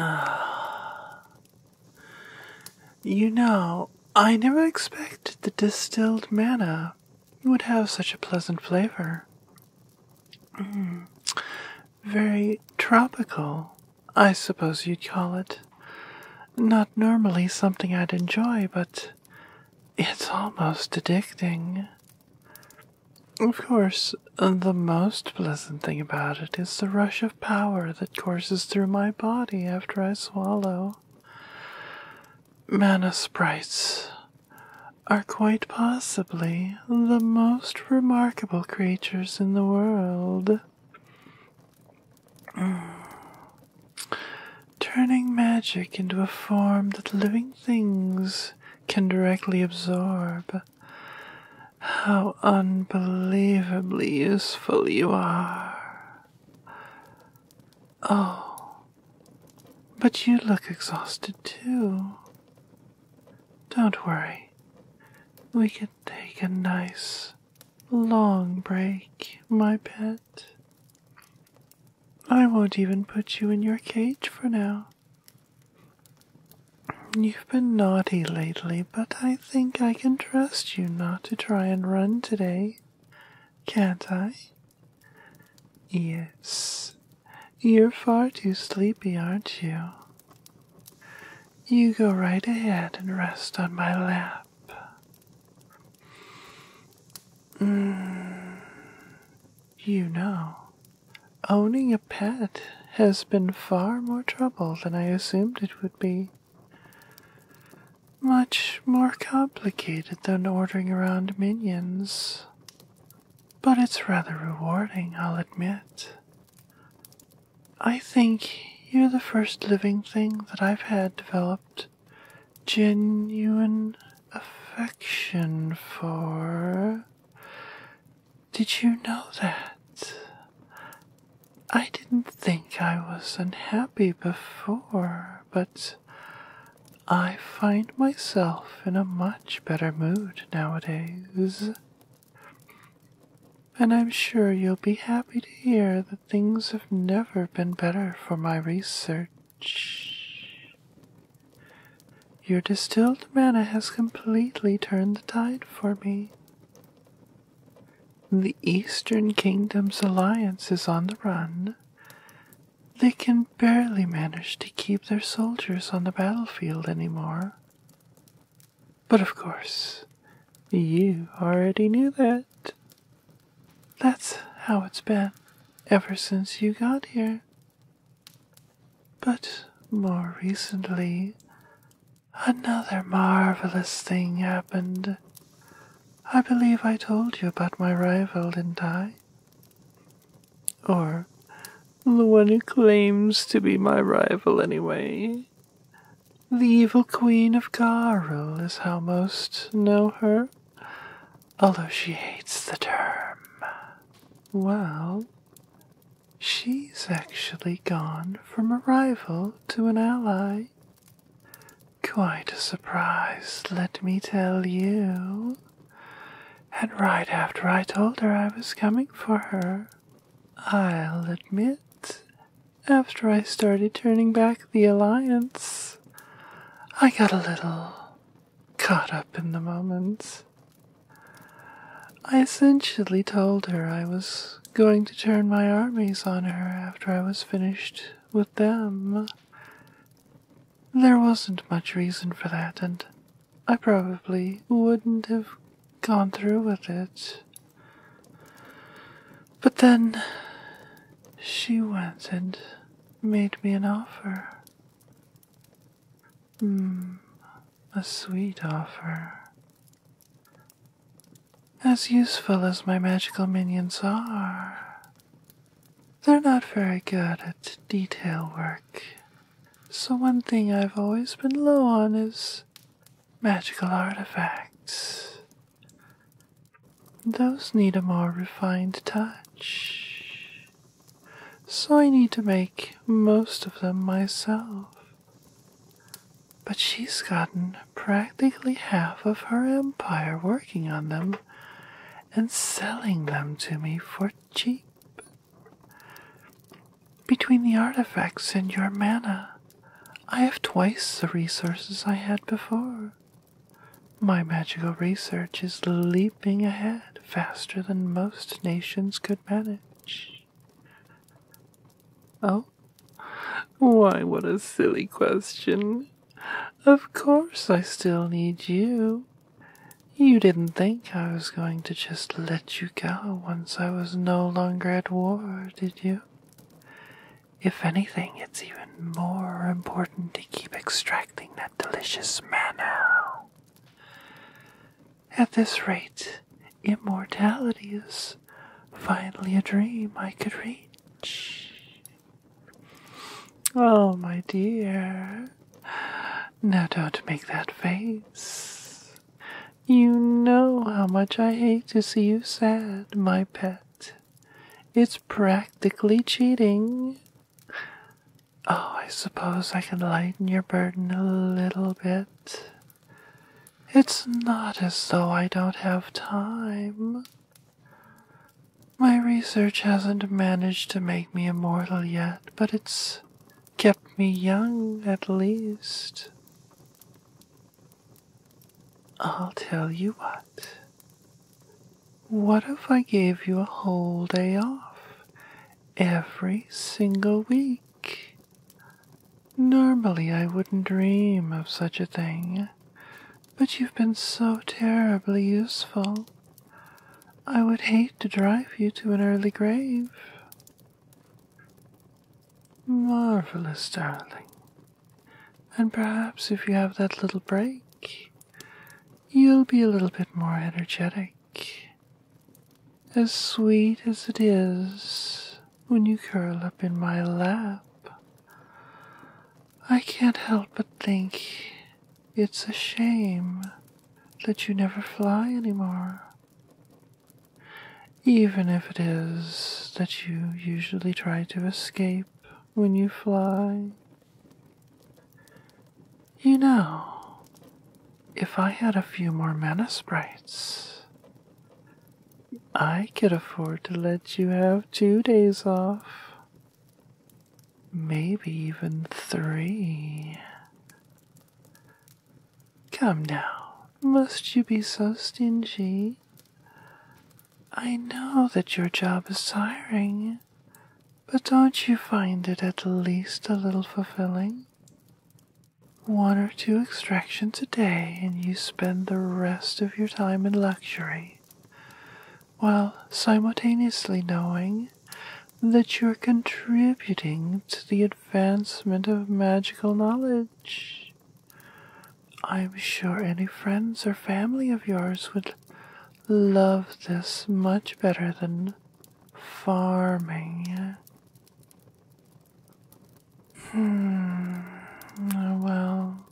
Ah. you know, I never expected the distilled manna would have such a pleasant flavor. Hmm. Very tropical, I suppose you'd call it. Not normally something I'd enjoy, but it's almost addicting. Of course, the most pleasant thing about it is the rush of power that courses through my body after I swallow. Mana sprites are quite possibly the most remarkable creatures in the world. Turning magic into a form that living things can directly absorb. How unbelievably useful you are. Oh, but you look exhausted too. Don't worry, we can take a nice long break, my pet. I won't even put you in your cage for now. You've been naughty lately, but I think I can trust you not to try and run today, can't I? Yes. You're far too sleepy, aren't you? You go right ahead and rest on my lap. Mm, you know, owning a pet has been far more trouble than I assumed it would be. Much more complicated than ordering around minions. But it's rather rewarding, I'll admit. I think you're the first living thing that I've had developed genuine affection for. Did you know that? I didn't think I was unhappy before, but I find myself in a much better mood nowadays. And I'm sure you'll be happy to hear that things have never been better for my research. Your distilled manna has completely turned the tide for me. The Eastern Kingdom's alliance is on the run. They can barely manage to keep their soldiers on the battlefield anymore. But of course, you already knew that. That's how it's been ever since you got here. But more recently, another marvelous thing happened. I believe I told you about my rival, didn't I? Or the one who claims to be my rival, anyway. The evil queen of Garul is how most know her, although she hates the term. Well, she's actually gone from a rival to an ally. Quite a surprise, let me tell you. And right after I told her I was coming for her, I'll admit, after I started turning back the Alliance, I got a little caught up in the moments. I essentially told her I was going to turn my armies on her after I was finished with them. There wasn't much reason for that, and I probably wouldn't have gone through with it. But then she went and made me an offer. Hmm, a sweet offer. As useful as my magical minions are, they're not very good at detail work so, one thing I've always been low on is magical artifacts. Those need a more refined touch. So, I need to make most of them myself. But she's gotten practically half of her empire working on them and selling them to me for cheap. Between the artifacts and your mana, I have twice the resources I had before. My magical research is leaping ahead faster than most nations could manage. Oh? Why, what a silly question. Of course, I still need you. You didn't think I was going to just let you go once I was no longer at war, did you? If anything, it's even more important to keep extracting that delicious manna. At this rate, immortality is finally a dream I could reach. Oh, my dear, now don't make that face. You know how much I hate to see you sad, my pet. It's practically cheating. Oh, I suppose I can lighten your burden a little bit. It's not as though I don't have time. My research hasn't managed to make me immortal yet, but it's kept me young at least. I'll tell you what. What if I gave you a whole day off every single week? Normally I wouldn't dream of such a thing, but you've been so terribly useful. I would hate to drive you to an early grave. Marvelous, darling. And perhaps if you have that little break, you'll be a little bit more energetic. As sweet as it is when you curl up in my lap, I can't help but think it's a shame that you never fly anymore. Even if it is that you usually try to escape when you fly. You know, if I had a few more mana sprites, I could afford to let you have two days off maybe even three. Come now, must you be so stingy? I know that your job is tiring, but don't you find it at least a little fulfilling? One or two extractions a day, and you spend the rest of your time in luxury, while simultaneously knowing that you're contributing to the advancement of magical knowledge. I'm sure any friends or family of yours would love this much better than farming. Hmm, well,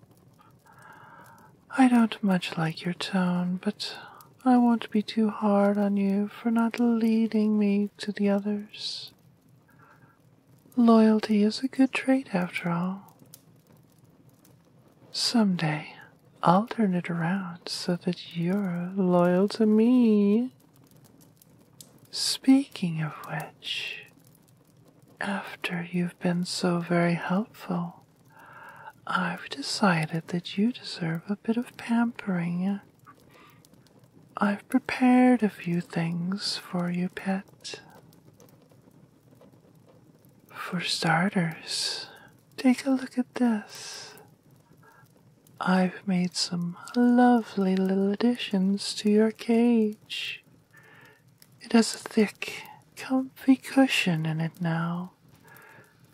I don't much like your tone, but I won't be too hard on you for not leading me to the others. Loyalty is a good trait, after all. Some day I'll turn it around so that you're loyal to me. Speaking of which, after you've been so very helpful, I've decided that you deserve a bit of pampering. I've prepared a few things for you, pet. For starters, take a look at this. I've made some lovely little additions to your cage. It has a thick, comfy cushion in it now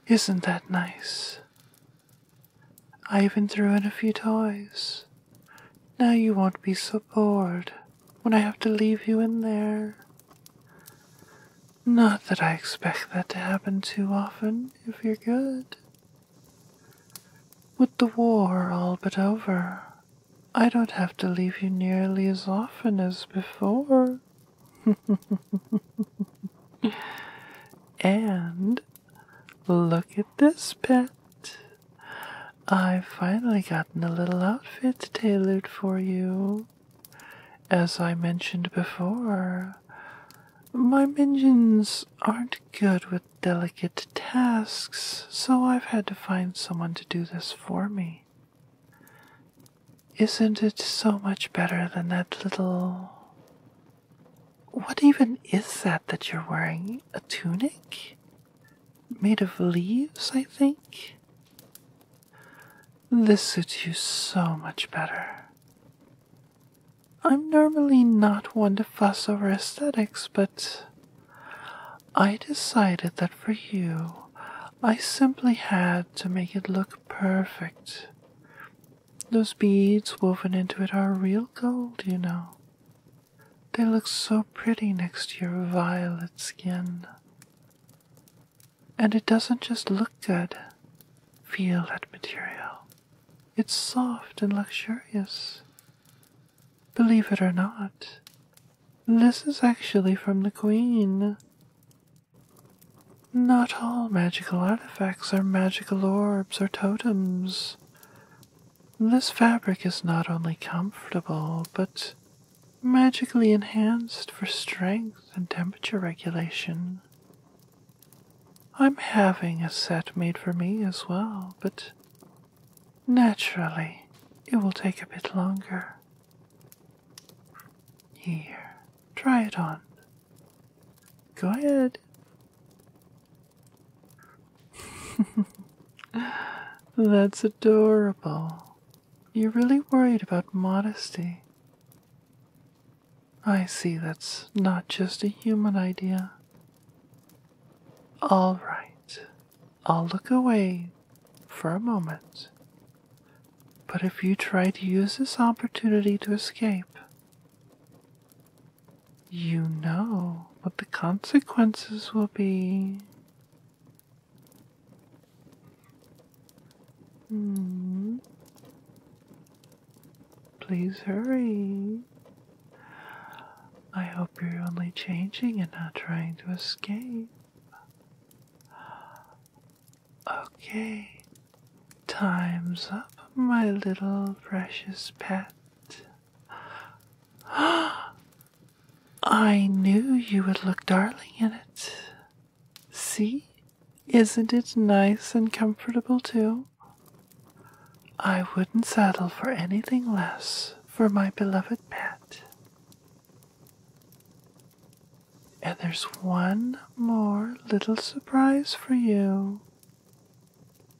isn't that nice? I even threw in a few toys. Now you won't be so bored when I have to leave you in there. Not that I expect that to happen too often if you're good. With the war all but over, I don't have to leave you nearly as often as before. and look at this pet. I've finally gotten a little outfit tailored for you. As I mentioned before, my minions aren't good with delicate tasks, so I've had to find someone to do this for me. Isn't it so much better than that little. What even is that that you're wearing? A tunic? Made of leaves, I think? This suits you so much better. I'm normally not one to fuss over aesthetics, but I decided that for you, I simply had to make it look perfect. Those beads woven into it are real gold, you know. They look so pretty next to your violet skin. And it doesn't just look good. Feel that material. It's soft and luxurious. Believe it or not, this is actually from the Queen. Not all magical artifacts are magical orbs or totems. This fabric is not only comfortable, but magically enhanced for strength and temperature regulation. I'm having a set made for me as well, but naturally it will take a bit longer. Here, try it on. Go ahead. That's adorable. You're really worried about modesty. I see that's not just a human idea. All right, I'll look away for a moment but if you try to use this opportunity to escape, you know what the consequences will be. Hmm. Please hurry. I hope you're only changing and not trying to escape. Okay, time's up, my little precious pet. I knew you would look darling in it. See? Isn't it nice and comfortable, too? I wouldn't settle for anything less for my beloved pet. And there's one more little surprise for you.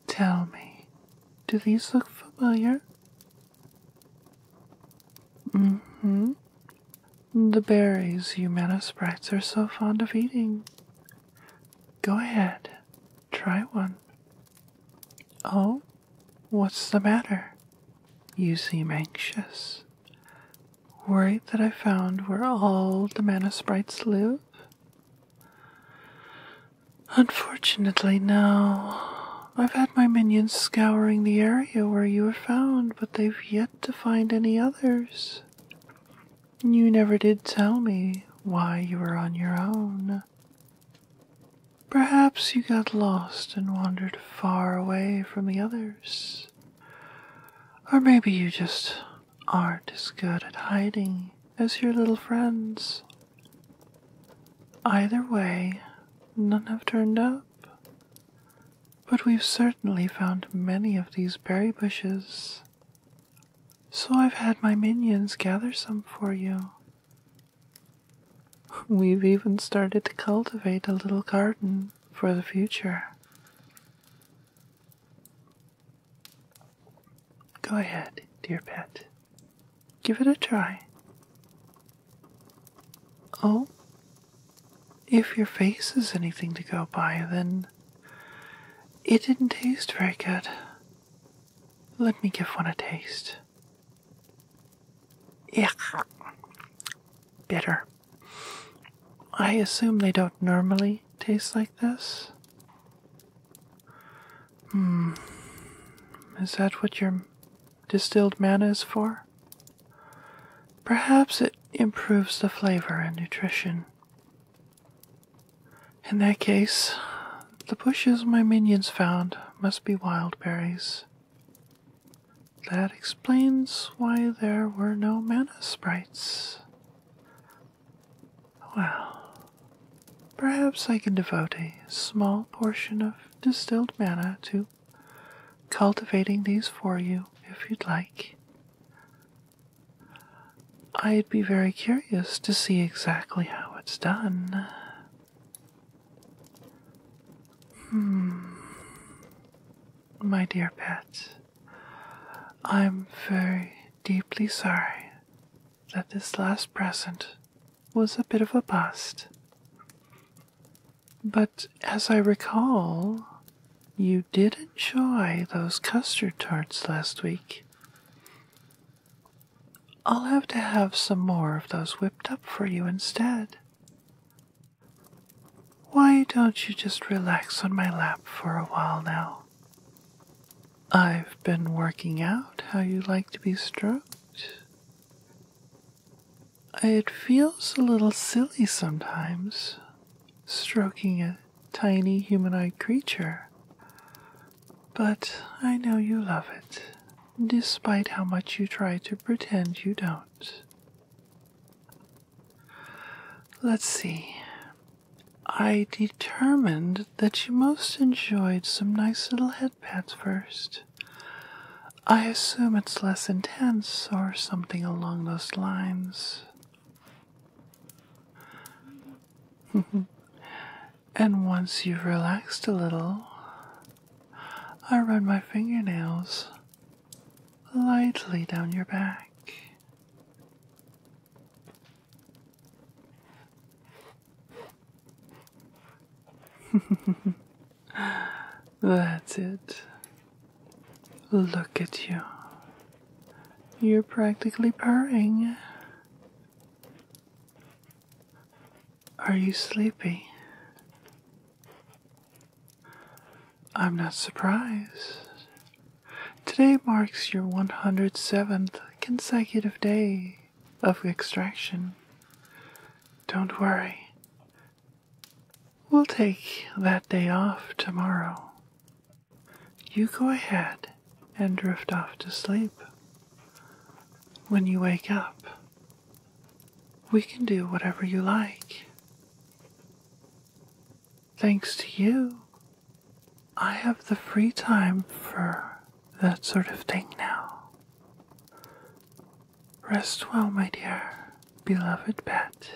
Tell me, do these look familiar? Mm hmm. The berries you mana sprites are so fond of eating. Go ahead, try one. Oh, what's the matter? You seem anxious worried that I found where all the mana sprites live? Unfortunately, no. I've had my minions scouring the area where you were found, but they've yet to find any others. You never did tell me why you were on your own. Perhaps you got lost and wandered far away from the others. Or maybe you just aren't as good at hiding as your little friends. Either way, none have turned up. But we've certainly found many of these berry bushes. So I've had my minions gather some for you. We've even started to cultivate a little garden for the future. Go ahead, dear pet. Give it a try. Oh, if your face is anything to go by, then it didn't taste very good. Let me give one a taste. Yeah. Bitter. I assume they don't normally taste like this. Hmm. Is that what your distilled manna is for? Perhaps it improves the flavor and nutrition. In that case, the bushes my minions found must be wild berries. That explains why there were no mana sprites. Well, perhaps I can devote a small portion of distilled mana to cultivating these for you if you'd like. I'd be very curious to see exactly how it's done. Hmm. My dear pet, I'm very deeply sorry that this last present was a bit of a bust. But as I recall, you did enjoy those custard tarts last week. I'll have to have some more of those whipped up for you instead. Why don't you just relax on my lap for a while now? I've been working out how you like to be stroked. It feels a little silly sometimes, stroking a tiny humanoid creature. But I know you love it, despite how much you try to pretend you don't. Let's see. I determined that you most enjoyed some nice little headpads first. I assume it's less intense or something along those lines. and once you've relaxed a little, I run my fingernails lightly down your back. That's it. Look at you. You're practically purring. Are you sleepy? I'm not surprised. Today marks your 107th consecutive day of extraction. Don't worry. We'll take that day off tomorrow. You go ahead and drift off to sleep. When you wake up, we can do whatever you like. Thanks to you, I have the free time for that sort of thing now. Rest well, my dear, beloved pet.